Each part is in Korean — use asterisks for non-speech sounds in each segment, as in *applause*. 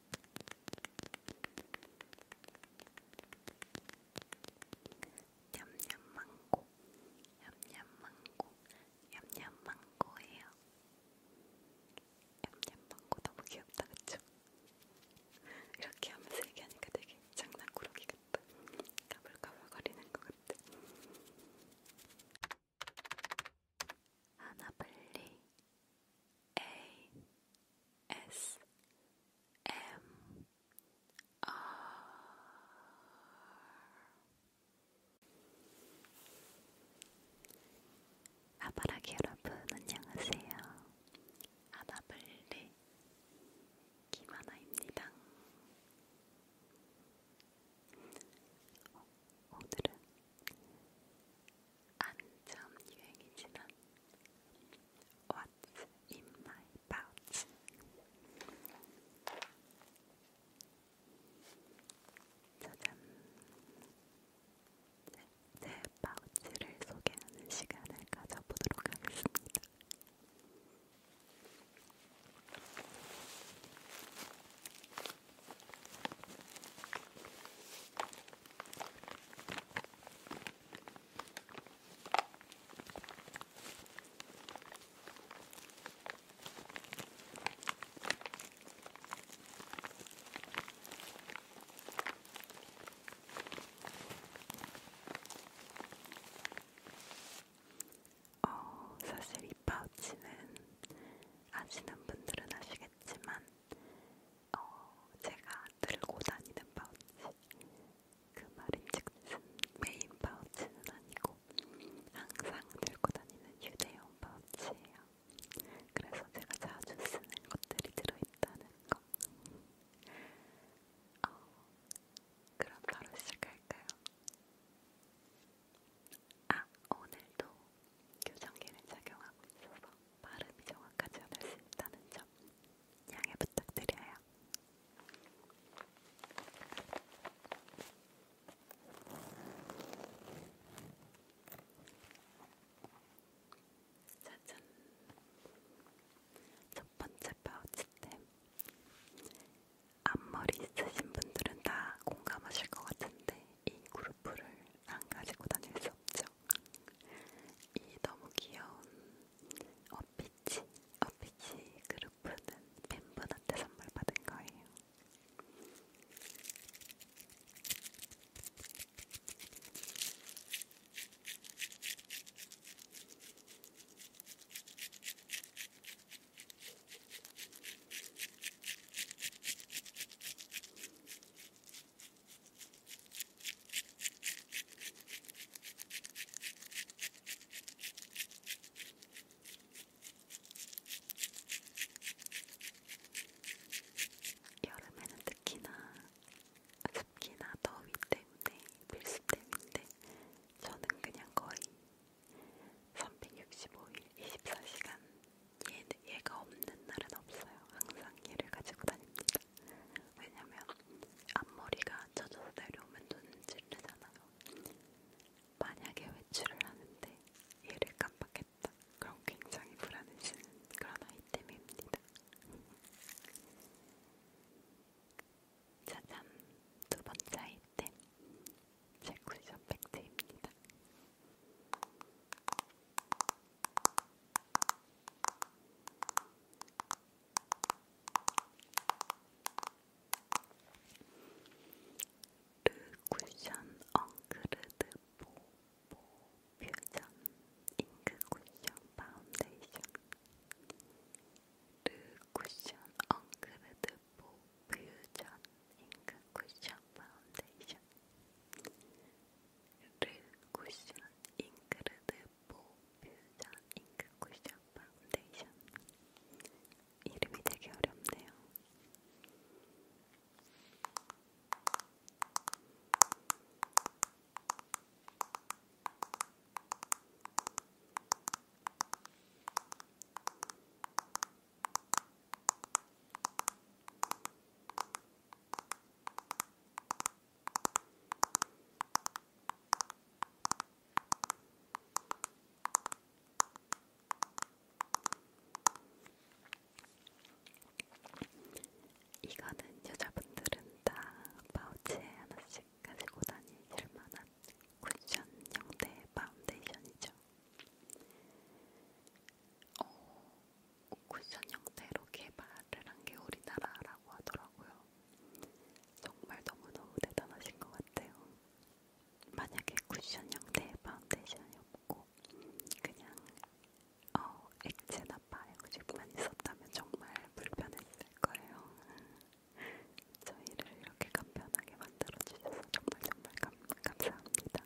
냠냠망고 냠냠망고 냠냠망고예요 냠냠망고 너무 귀엽다 그쵸? *laughs* 이렇게 하면서 얘기하니까 되게 장난꾸러기 같다 가불가불거리는 것 같아 하나블리 ASMR 아바라기 여러분 안녕하세요. 아나블리 김하나입니다. 어, 오늘은 한참 유행이 지난 What's in my pouch? 짜잔! 제, 네, 제 네 파우치를 소개하는 시간을 가져보도록 하겠습니다. 어, 사실 이 파우치는 아시는 분들은 아시겠지만 어, 제가 들고 다니는 파우치, 그 말임즉슨 메인 파우치는 아니고 항상 들고 다니는 휴대용 파우치예요. 그래서 제가 자주 쓰는 것들이 들어있다는 거. 어, 그럼 바로 시작할까요? 아, 오늘도 교정기를 착용하고 있어서 발음이 정확하지 않을 수 있다는 점 양해 부탁드려요. 짜잔! 첫 번째 파우치템. 앞머리 있으신 분들은 다 공감하실 것 같은데 이 그루프를 안 가지고 다닐 수 없죠. 이 너무 귀여운 어피치, 어피치 그루프는 팬분한테 선물 받은 거예요. 여름에는 특히나 습기나 더위 때문에 필수 때문에 저는 그냥 거의 365일 24시간 얘, 얘가 없는 날은 없어요. 항상 얘를 가지고 다닙니다. 왜냐면 앞머리가 젖어서 내려오면 눈을 찌르잖아요. 만약에 외출을 하는데 얘를 깜빡했다. 그럼 굉장히 불안해지는 그런 아이템입니다. 짜잔! *laughs* 두 번째 아이템. 제 쿠션 팩트입니다. 르 쿠션 엉크르드 보보 퓨전 잉크 쿠션 파운데이션 르 쿠션 엉크르드 보보 퓨전 잉크 쿠션 파운데이션를 쿠션 잉크르드보 퓨전 잉크 쿠션 파운데이션 이름이 되게 어렵네요. 이거는 여자분들은 다 파우치에 하나씩 가지고 다니실 만한 쿠션 형태의 파운데이션이죠. 어, 쿠션 형태로 개발을 한 게 우리나라라고 하더라고요. 정말 너무너무 대단하신 것 같아요. 만약에 쿠션 형태의 파운데이션이 없고 그냥 어, 액체나 바이오집만 있었다면 정말 불편했을 거예요. *laughs* 저희를 이렇게 간편하게 만들어주셔서 정말 정말 감, 감사합니다.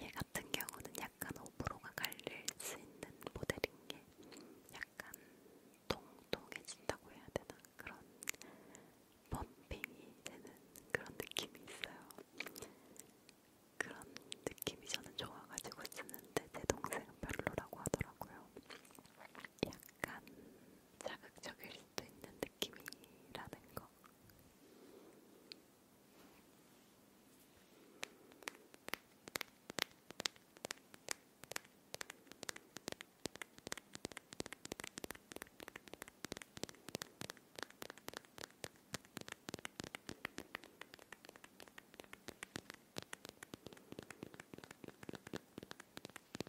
얘 같은 경우는 약간 오브로가 갈릴 수 있는 모델인 게 약간 통통해진다고 해야 되나 그런 범핑이 되는 그런 느낌이 있어요. 그런 느낌이 저는 좋아가지고 쓰는데 제 동생은 별로라고 하더라고요. 약간 자극적일 수도 있는 느낌이라는 거.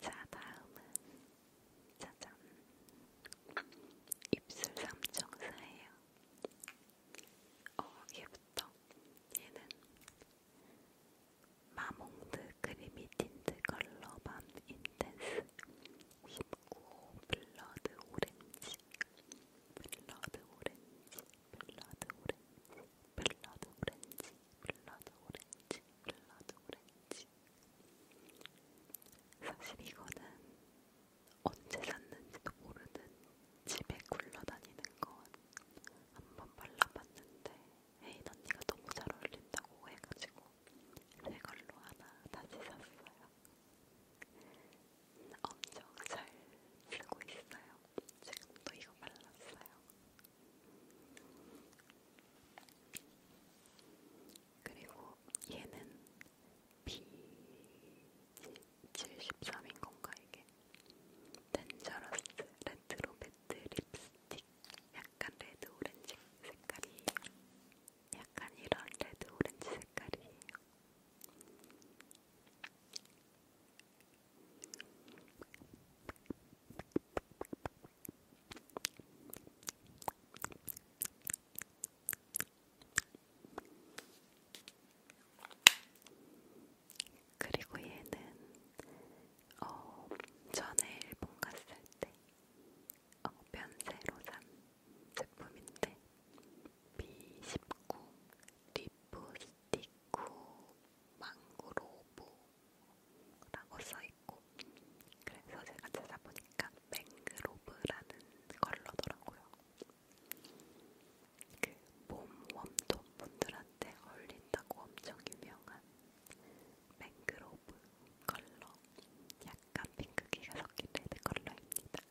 자, 다음은 짜잔. 입술 삼총사예요. 어, 얘부터. 얘는 마몽드 크리미 틴트 컬러 밤 인텐스 19 블러드 오렌지 블러드 오렌지 블러드 오렌지 블러드 오렌지 블러드 오렌지 블러드 오렌지 사실 이거는 언제 샀는지도 모르는 집에 굴러다니는 건한번 발라봤는데 헤인 언니가 너무 잘 어울린다고 해가지고 새 걸로 하나 다시 샀어요. 엄청 잘 쓰고 있어요. 지금도 이거 발랐어요. 그리고 얘는 B73인 건가 이게? 덴저러스 레트로 배트 립스틱 약간 레드 오렌지 색깔이 약간 이런 레드 오렌지 색깔이에요. 그리고 얘는 어, 전에 일본 갔을 때 어, 면세로 산 제품인데 B19 리프 스티쿠 망고로보 뭐 라고 써있고 그래서 제가 찾아보니까 맹그로브라는 컬러더라고요. 그 봄웜톤 분들한테 어울린다고 엄청 유명한 맹그로브 컬러 약간 핑크기가 섞인 레드 컬러입니다.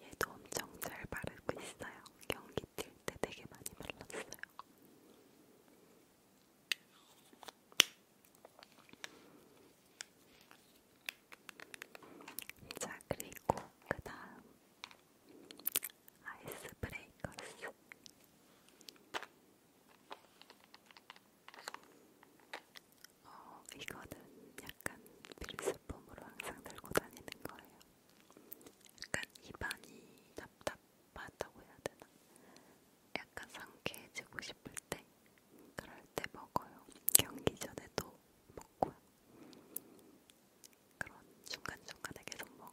얘도 엄청 잘 바르고 있어요. 경기 뛸때 되게 많이 발랐어요. 자, 그리고 그 다음 아이스 브레이커스. 어, 이거는 약간 필수품으로 항상 들고 다니는 거예요. 약간 입안이 답답 섭섭하다고 해야 되나? 약간 상쾌해지고 싶을 때 그럴 때 먹어요. 경기 전에도 먹고요. 그런 중간중간에 계속 먹어요.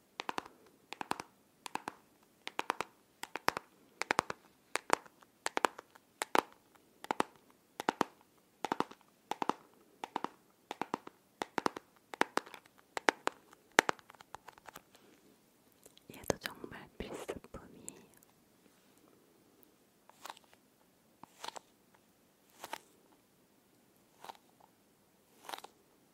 얘도 정말 필수품이에요.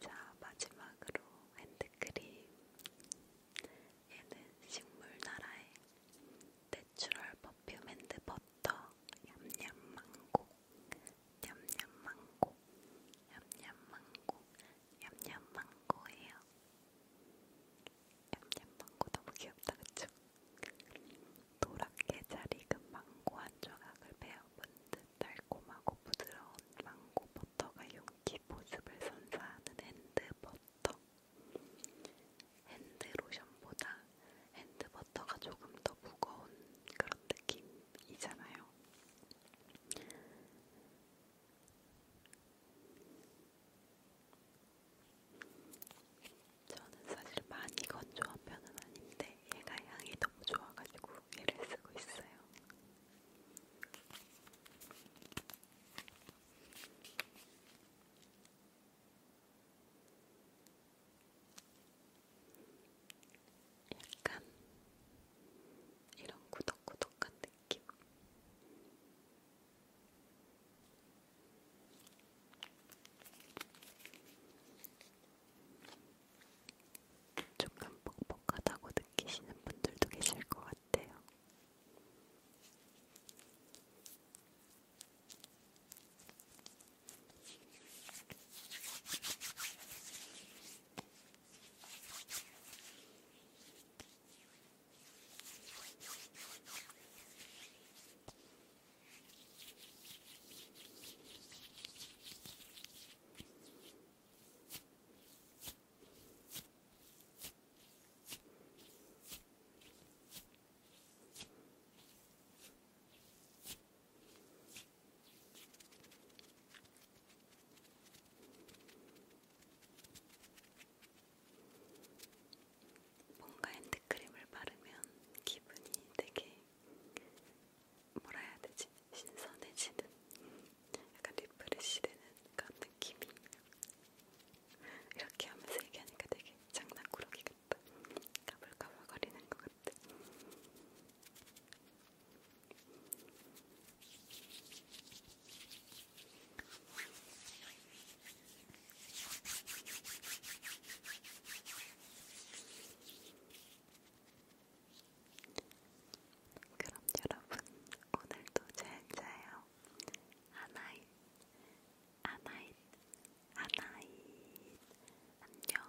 자, 마지막으로 핸드크림. 얘는 식물 나라의 내추럴 퍼퓸 핸드 버터 얌얌 망고. 얌얌 망고. 얌얌 망고. 얌얌 망고예요. 얌얌 망고 너무 귀엽다, 그쵸? 노랗게 잘 익은 망고 한 조각을 베어 본듯 달콤하고 부드러운 망고 버터가 윤기 보습을 선사하는 핸드 버터. 핸드 로션보다 핸드 버터가 조금 더 무거운 그런 느낌이잖아요. 저는 사실 많이 건조한 편은 아닌데 얘가 향이 너무 좋아가지고 얘를 쓰고 있어요. 약간 이런 구덕구덕한 느낌. 조금 뻑뻑하다고 느끼시는 분들도 계실 것 같아요. 뭔가 핸드크림을 바르면 기분이 되게 뭐라 해야 되지? 신선해지는 약간 리프레시 되는 그런 느낌이 이렇게 하면서 얘기하니까 되게 장난꾸러기 같다 까불까불거리는 것 같아 그럼 여러분, 오늘도 잘 자요. 아나잇, 아나잇, 아나잇. 안녕.